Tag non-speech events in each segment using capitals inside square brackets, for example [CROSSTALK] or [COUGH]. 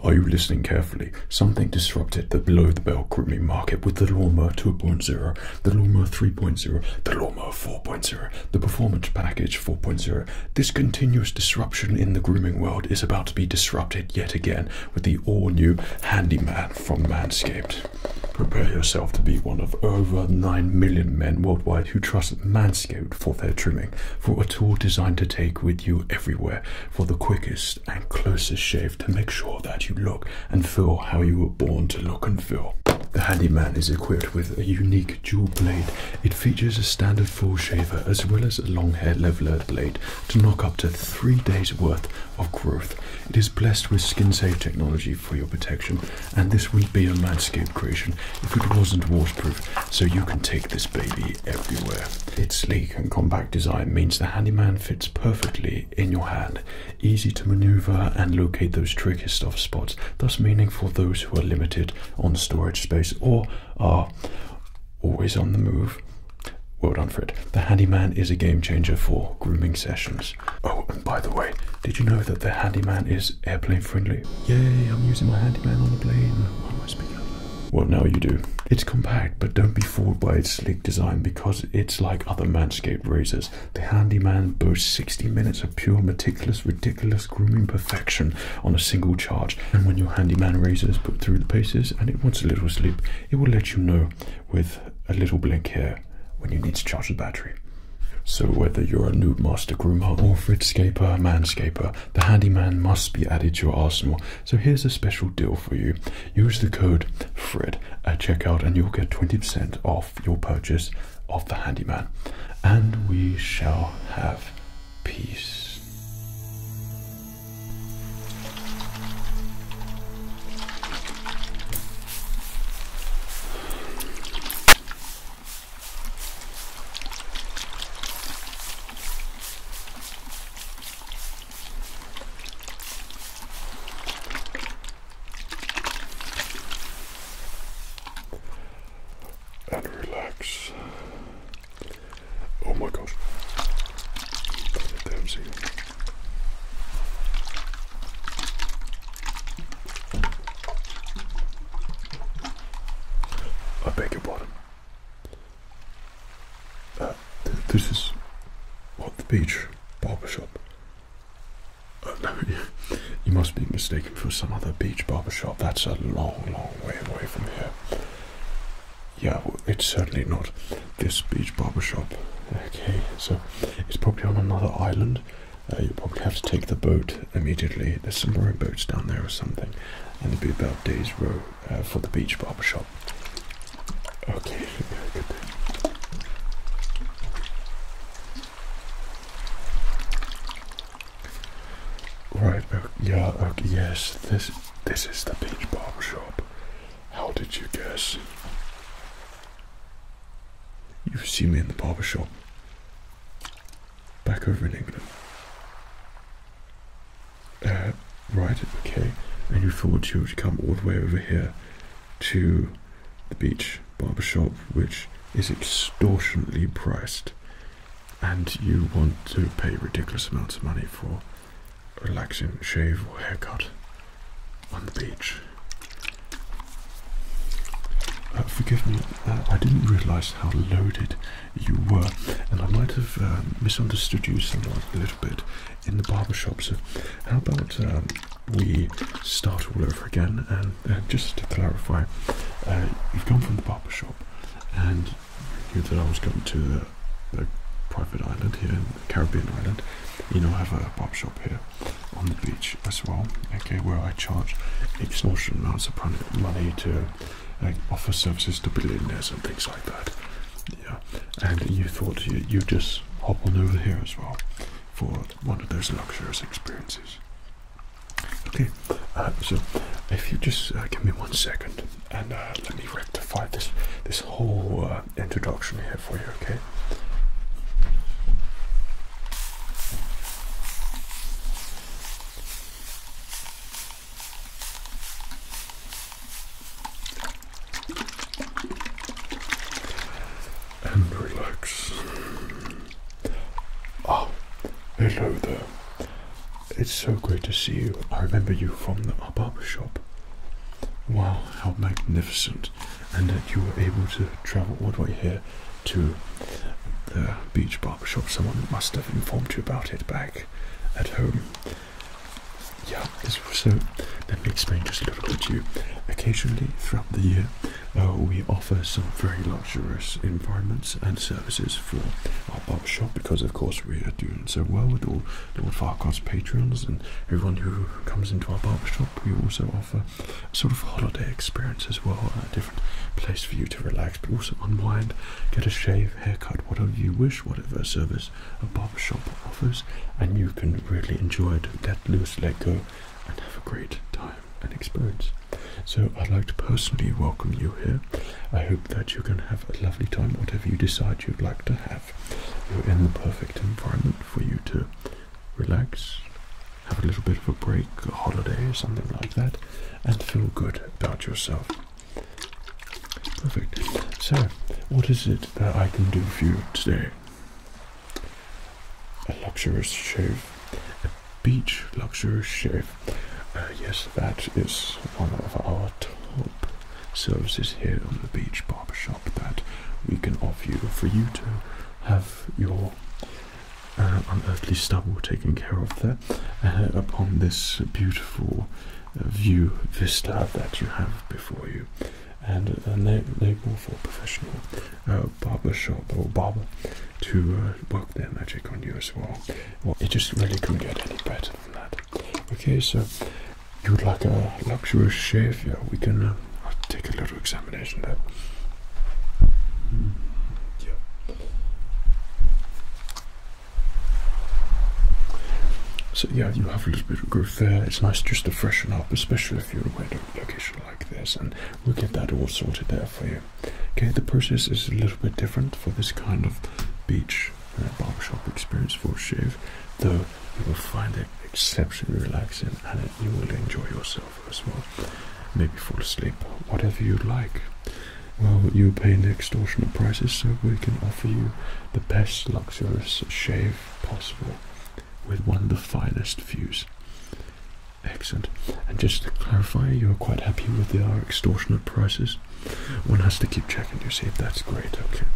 Are you listening carefully? Something disrupted the below the bell grooming market with the Lawnmower 2.0, the Lawnmower 3.0, the Lawnmower 4.0, the Performance Package 4.0. This continuous disruption in the grooming world is about to be disrupted yet again with the all new Handyman from Manscaped. Prepare yourself to be one of over 9 million men worldwide who trust Manscaped for their trimming, for a tool designed to take with you everywhere, for the quickest and closest shave to make sure that you look and feel how you were born to look and feel. The Handyman is equipped with a unique dual blade. It features a standard full shaver as well as a long hair leveler blade to knock up to three days worth of growth. It is blessed with skin safe technology for your protection and this would be a landscape creation if it wasn't waterproof so you can take this baby everywhere. Its sleek and compact design means the handyman fits perfectly in your hand, easy to maneuver and locate those trickiest of spots, thus meaning for those who are limited on storage space or are always on the move. Well done, Fred. The Handyman is a game changer for grooming sessions. Oh, and by the way, did you know that the Handyman is airplane friendly? Yay, I'm using my Handyman on the plane. Well, now you do. It's compact, but don't be fooled by its sleek design because it's like other Manscaped razors. The Handyman boasts 60 minutes of pure, meticulous, ridiculous grooming perfection on a single charge. And when your Handyman razor is put through the paces and it wants a little sleep, it will let you know with a little blink here when you need to charge the battery. So whether you're a noob master groomer or fritscaper manscaper, the handyman must be added to your arsenal so here's a special deal for you. Use the code FRED at checkout and you'll get 20% off your purchase of the handyman. And we shall have peace and relax. Oh my gosh. Damn see. I beg your pardon. Uh, this is what the beach barber shop. Uh, no, [LAUGHS] you, must be mistaken for some other beach barber shop. That's a long, long way away from here. Yeah, it's certainly not this beach barber shop. Okay, so it's probably on another island. Uh, you probably have to take the boat immediately. There's some rowboats down there or something, and it'd be about day's row for the beach barber shop. Okay, Right, uh, yeah, okay, uh, yes, this this is the beach barbershop. How did you guess? You've seen me in the barber shop. Back over in England. Uh, right, okay. And you thought you would come all the way over here to the beach barbershop, which is extortionately priced, and you want to pay ridiculous amounts of money for a relaxing shave or haircut on the beach. Uh, forgive me, uh, I didn't realize how loaded you were. And I might have um, misunderstood you somewhat a little bit in the barbershop. So, how about um, we start all over again? And uh, just to clarify, uh, you've gone from the barber shop, and you knew that I was going to the, private island here in the Caribbean island. You know, I have a barber shop here on the beach as well, okay, where I charge extortion amounts of money to uh, offer services to billionaires and things like that. Yeah, and you thought you, you'd just hop on over here as well for one of those luxurious experiences. Okay, uh, so if you just uh, give me one second and uh, let me rectify this this whole introduction here for you, okay? and relax. Oh, hello there. It's so great to see you. I remember you from the barber shop. Wow, how magnificent. And that you were able to travel all the way here to the beach barber shop. Someone must have informed you about it back at home yeah, so uh, let me explain just a little bit to you. Occasionally throughout the year, uh, we offer some very luxurious environments and services for our barbershop. because, of course, we are doing so well with all Lord Farquhar's patrons and everyone who comes into our barbershop. We also offer a sort of holiday experience as well, a different place for you to relax but also unwind, get a shave, haircut, whatever you wish, whatever service a barber shop offers, and you can really enjoy it, let loose, let go, and have a great time and experience. So, I'd like to personally welcome you here. I hope that you can have a lovely time, whatever you decide you'd like to have. You're in the perfect environment for you to relax, have a little bit of a break, a holiday, something like that, and feel good about yourself. Perfect. So, what is it that I can do for you today? A luxurious shave, a beach luxurious shave. Uh, yes, that is one of our top services here on the beach barbershop that we can offer you for you to have your uh, unearthly stubble taken care of there uh, upon this beautiful view vista that you have before you, and a na label for professional uh, barber shop or barber to uh, work their magic on you as well. Well, it just really couldn't get any better than that. Okay, so you would like a luxurious shave? Yeah, we can uh, take a little examination there. Mm, so yeah, you have a little bit of growth there. It's nice just to freshen up, especially if you're away at a location like this, and we'll get that all sorted there for you. Okay, the process is a little bit different for this kind of beach uh, barbershop experience for shave, though you will find it exceptionally relaxing and you will enjoy yourself as well. Maybe fall asleep, whatever you would like. Well, you pay an extortionate prices, so we can offer you the best luxurious shave possible with one of the finest views. Excellent. And just to clarify, you're quite happy with the, extortionate prices? One has to keep checking, you see. That's great, okay.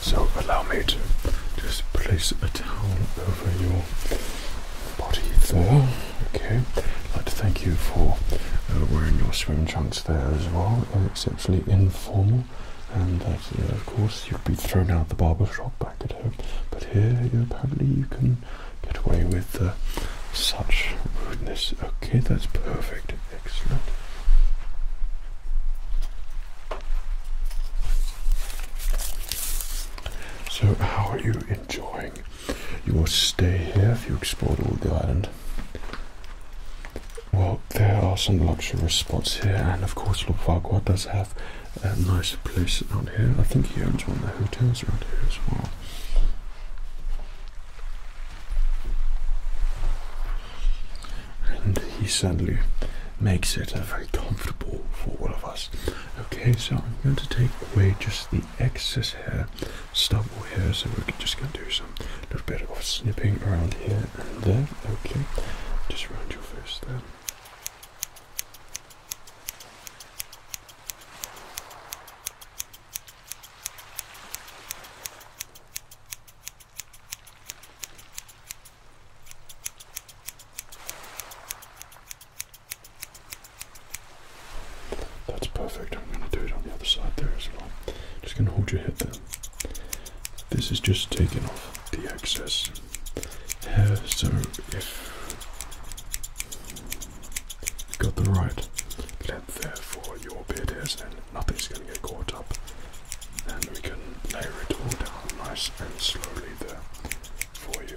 So allow me to just place a towel over your body there. Okay. like to thank you for uh, wearing your swim trunks there as well. exceptionally informal. And that, of course, you'd be thrown out of the barber shop back at home. But here, apparently, you can get away with uh, such rudeness. Okay, that's perfect. Excellent. So, how are you enjoying You will stay here if you explore all the island? Well, there are some luxurious spots here, and of course, Lopvagua does have a nice place out here. I think he owns one of the hotels around here as well. And he suddenly makes it very comfortable for all of us. Okay, so I'm going to take away just the excess hair, stubble hair, so we're just going to do some little bit of snipping around here and there. Okay, just around your face there. That's perfect. I'm going to do it on the other side there as well. Just going to hold your head there. This is just taking off the excess hair, so if Got the right length there for your beard hairs, and nothing's going to get caught up. And we can lay it all down nice and slowly there for you.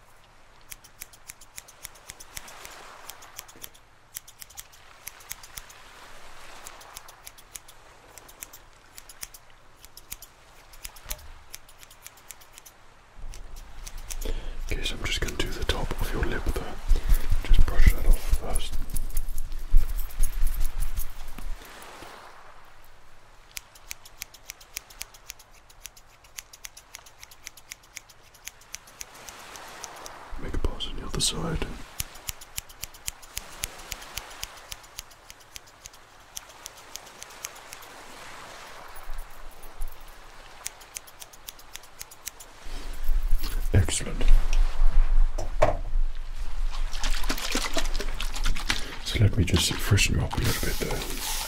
Okay, so I'm just going to do the top of your lip there. Just brush that off first. Make a pause on the other side. Excellent. So let me just freshen up a little bit there.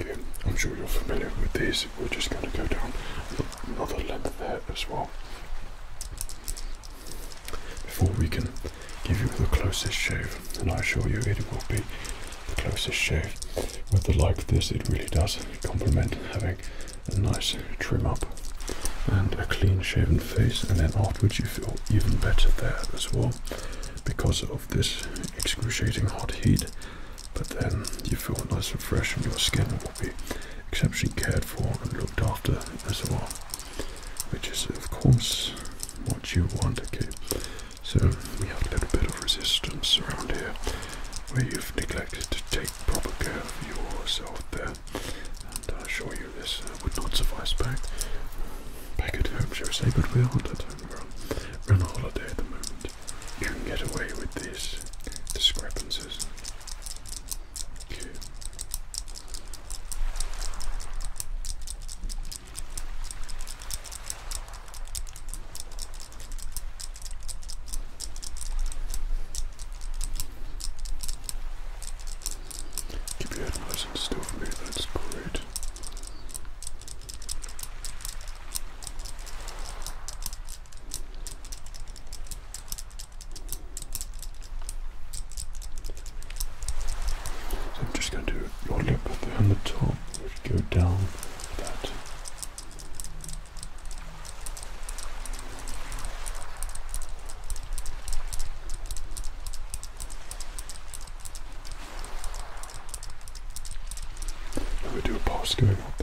Okay, I'm sure you're familiar with this. We're just going to go down another length there as well before we can give you the closest shave. And I assure you, it will be the closest shave. With the like this, it really does complement having a nice trim up and a clean shaven face. And then afterwards, you feel even better there as well because of this excruciating hot heat. But then you feel nice and fresh, and your skin will be exceptionally cared for and looked after as well which is of course what you want, to keep. So we have a little bit of resistance around here where you've neglected to take proper care of yourself there. And I assure you this uh, would not suffice back back at home, shall we say, but we aren't at home, we we're on a holiday at the moment. You can get away with these discrepancies. Keep your head nice and still for me, that's great. So I'm just going to roll it up behind the top, go down that. we do a pass going up.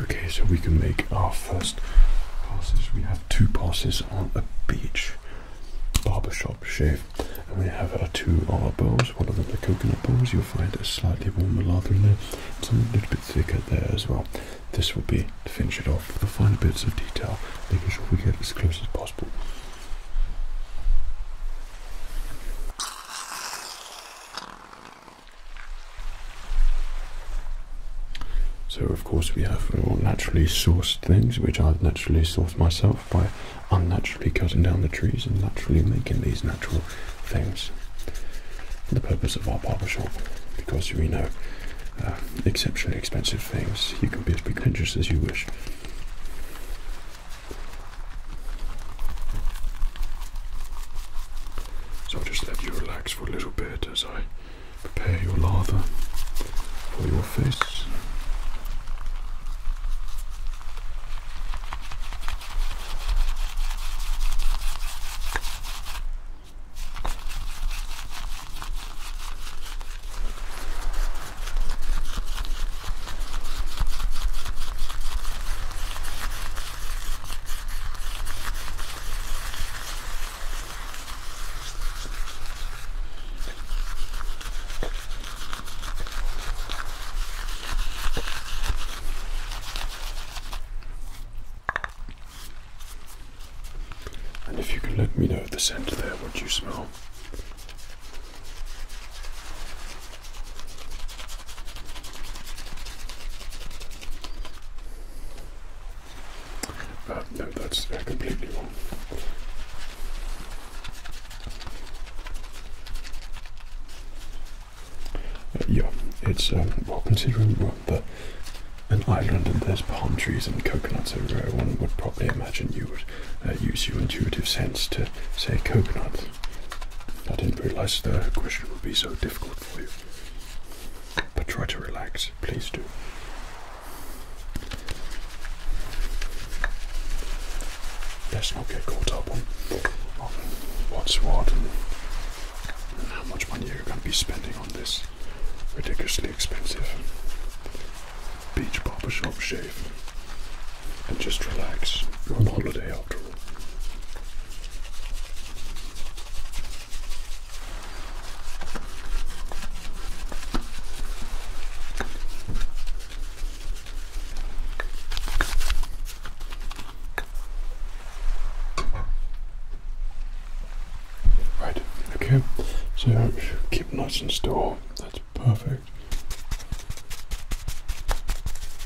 Okay, so we can make our first passes. We have two passes on a beach, barbershop shave, and we have our two our bowls. One of them the coconut bowls. You'll find a slightly warmer lather in there, It's a little bit thicker there as well. This will be to finish it off with the finer bits of detail, making sure we get as close as possible. So of course we have all naturally sourced things, which I've naturally sourced myself by unnaturally cutting down the trees and naturally making these natural things. For the purpose of our barber shop, because we know uh, exceptionally expensive things, you can be as pretentious as you wish. So I'll just let you relax for a little bit as I prepare your lather for your face. And if you can let me know the scent there, what you smell. Uh, no, that's uh, completely wrong. yeah, it's um, well considering well, the, an island and there's palm trees and coconuts everywhere. One would probably imagine you would uh, use your intuitive sense to say coconut. I didn't realise the question would be so difficult. But try to relax, please do. Let's not get caught up on, what's what and, how much money you're going to be spending on this ridiculously expensive beach barbershop shave. And just relax. You're on holiday after all. Right, okay, so keep nice and still, that's perfect.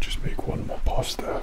Just make one more pasta.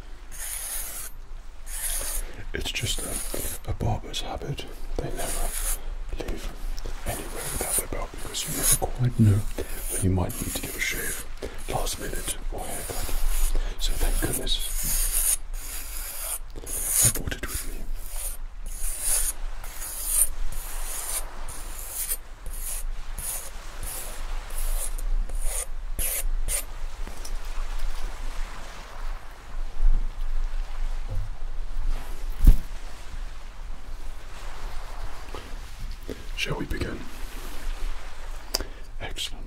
It's just a, barber's habit. They never leave anywhere without their belt because you never quite know when you might need to give a shave, last minute or haircut. So thank goodness I brought it with me. Shall we begin? Excellent.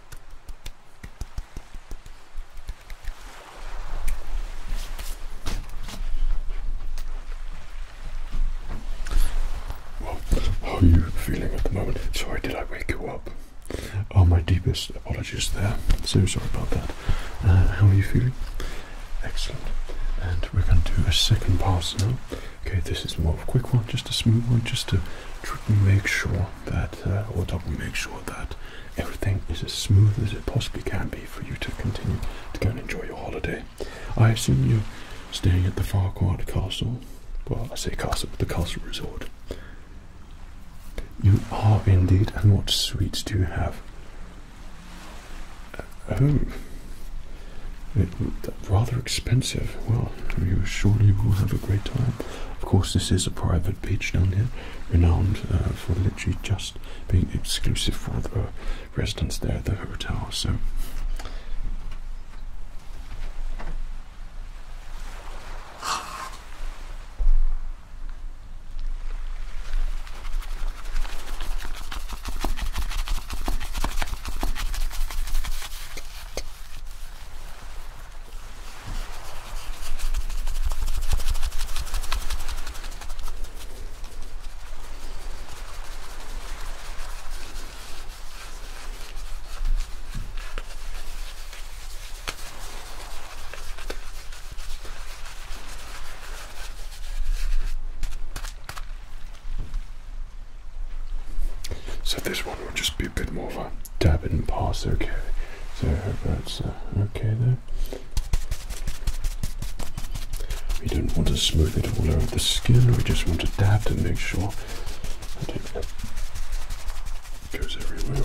how are you feeling at the moment? Sorry, did I wake you up? Oh, my deepest apologies there. So sorry about that. Uh, how are you feeling? Excellent. And we're going to do a second pass now. Okay, this is more of a quick one, just a smooth one, just to make sure that uh, or double make sure that everything is as smooth as it possibly can be for you to continue to go and enjoy your holiday. I assume you're staying at the Farquhar Castle. Well, I say castle, but the castle resort. You are indeed, and what sweets do you have? Oh, rather expensive. Well, you surely will have a great time. Of course, this is a private beach down here, renowned uh, for literally just being exclusive for the residents there the hotel. So. So this one will just be a bit more of a dab it and pass. Okay, so I hope that's uh, okay there. We don't want to smooth it all over the skin. We just want to dab to make sure that it goes everywhere.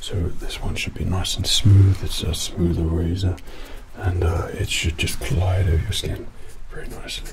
So this one should be nice and smooth. It's a smoother razor and uh, it should just glide over your skin very nicely.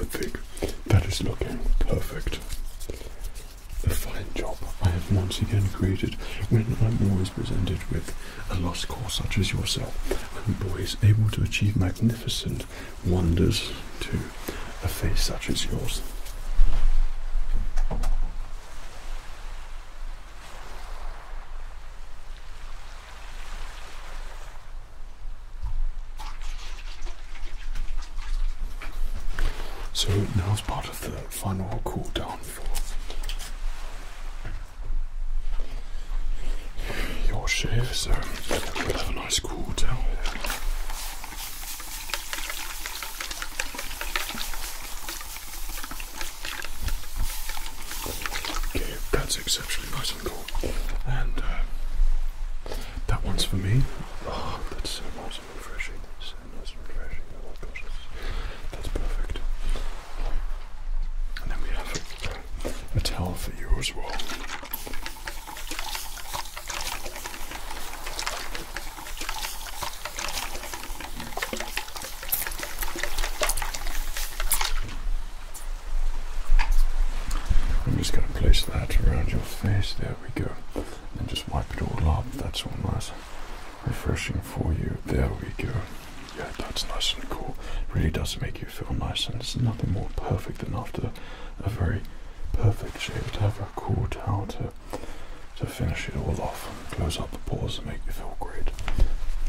I think that is looking perfect. A fine job I have once again created when I'm always presented with a lost cause such as yourself. I'm always able to achieve magnificent wonders to a face such as yours. So now it's part of the final cool down for your shave, so we'll have a nice cool down Okay, that's exceptionally nice and cool. And uh, that one's for me. Oh, that's so nice refreshing. So nice refreshing. Oh my gosh, that's, perfect. And then we have a towel for you as well. I'm just going to place that around your face. There we go. And just wipe it all off. That's all nice. Refreshing for you. There we go. Yeah, that's nice and cool. Really does make you feel nice, and it's nothing more perfect than after a very perfect shave to have a cool towel to finish it all off. Close up the pores and make you feel great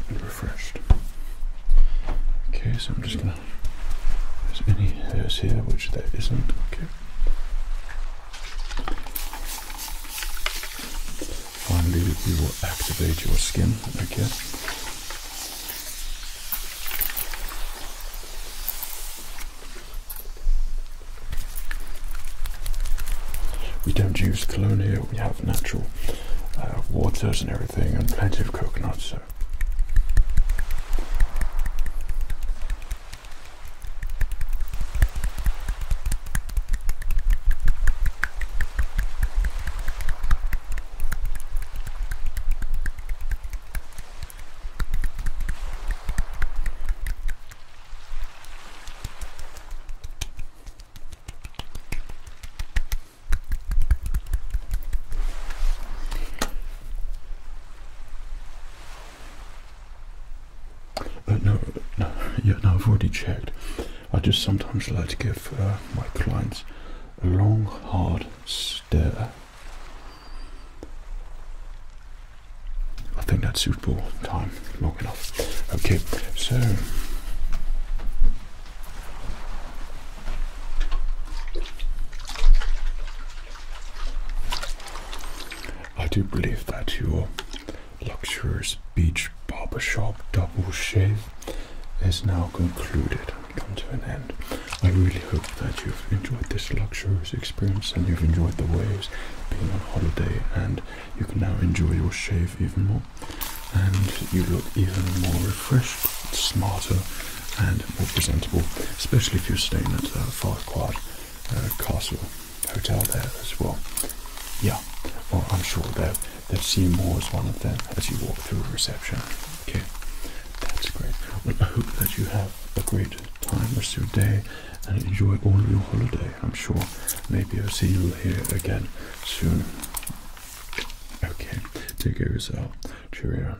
and refreshed. Okay, so I'm just gonna there's any hairs here which there isn't, okay. Finally we will activate your skin, okay. We don't use cologne we have natural uh, waters and everything, and plenty of coconuts. Uh, no, no, yeah, no, I've already checked. I just sometimes like to give uh, my clients a long, hard stare I think that's suitable time, long enough. Okay, so I do believe that your luxurious beach barbershop double shave is now concluded and come to an end. I really hope that you've enjoyed this luxurious experience and you've enjoyed the waves, being on holiday and you can now enjoy your shave even more and you look even more refreshed, smarter and more presentable, especially if you're staying at uh, Farquhar uh, Castle Hotel there as well. Yeah, well I'm sure they'll, they see you more as one of them as you walk through reception. Okay, that's great. I hope that you have a great time rest of your day and enjoy all your holiday. I'm sure maybe I'll see you here again soon. Okay, take care of yourself. Cheerio.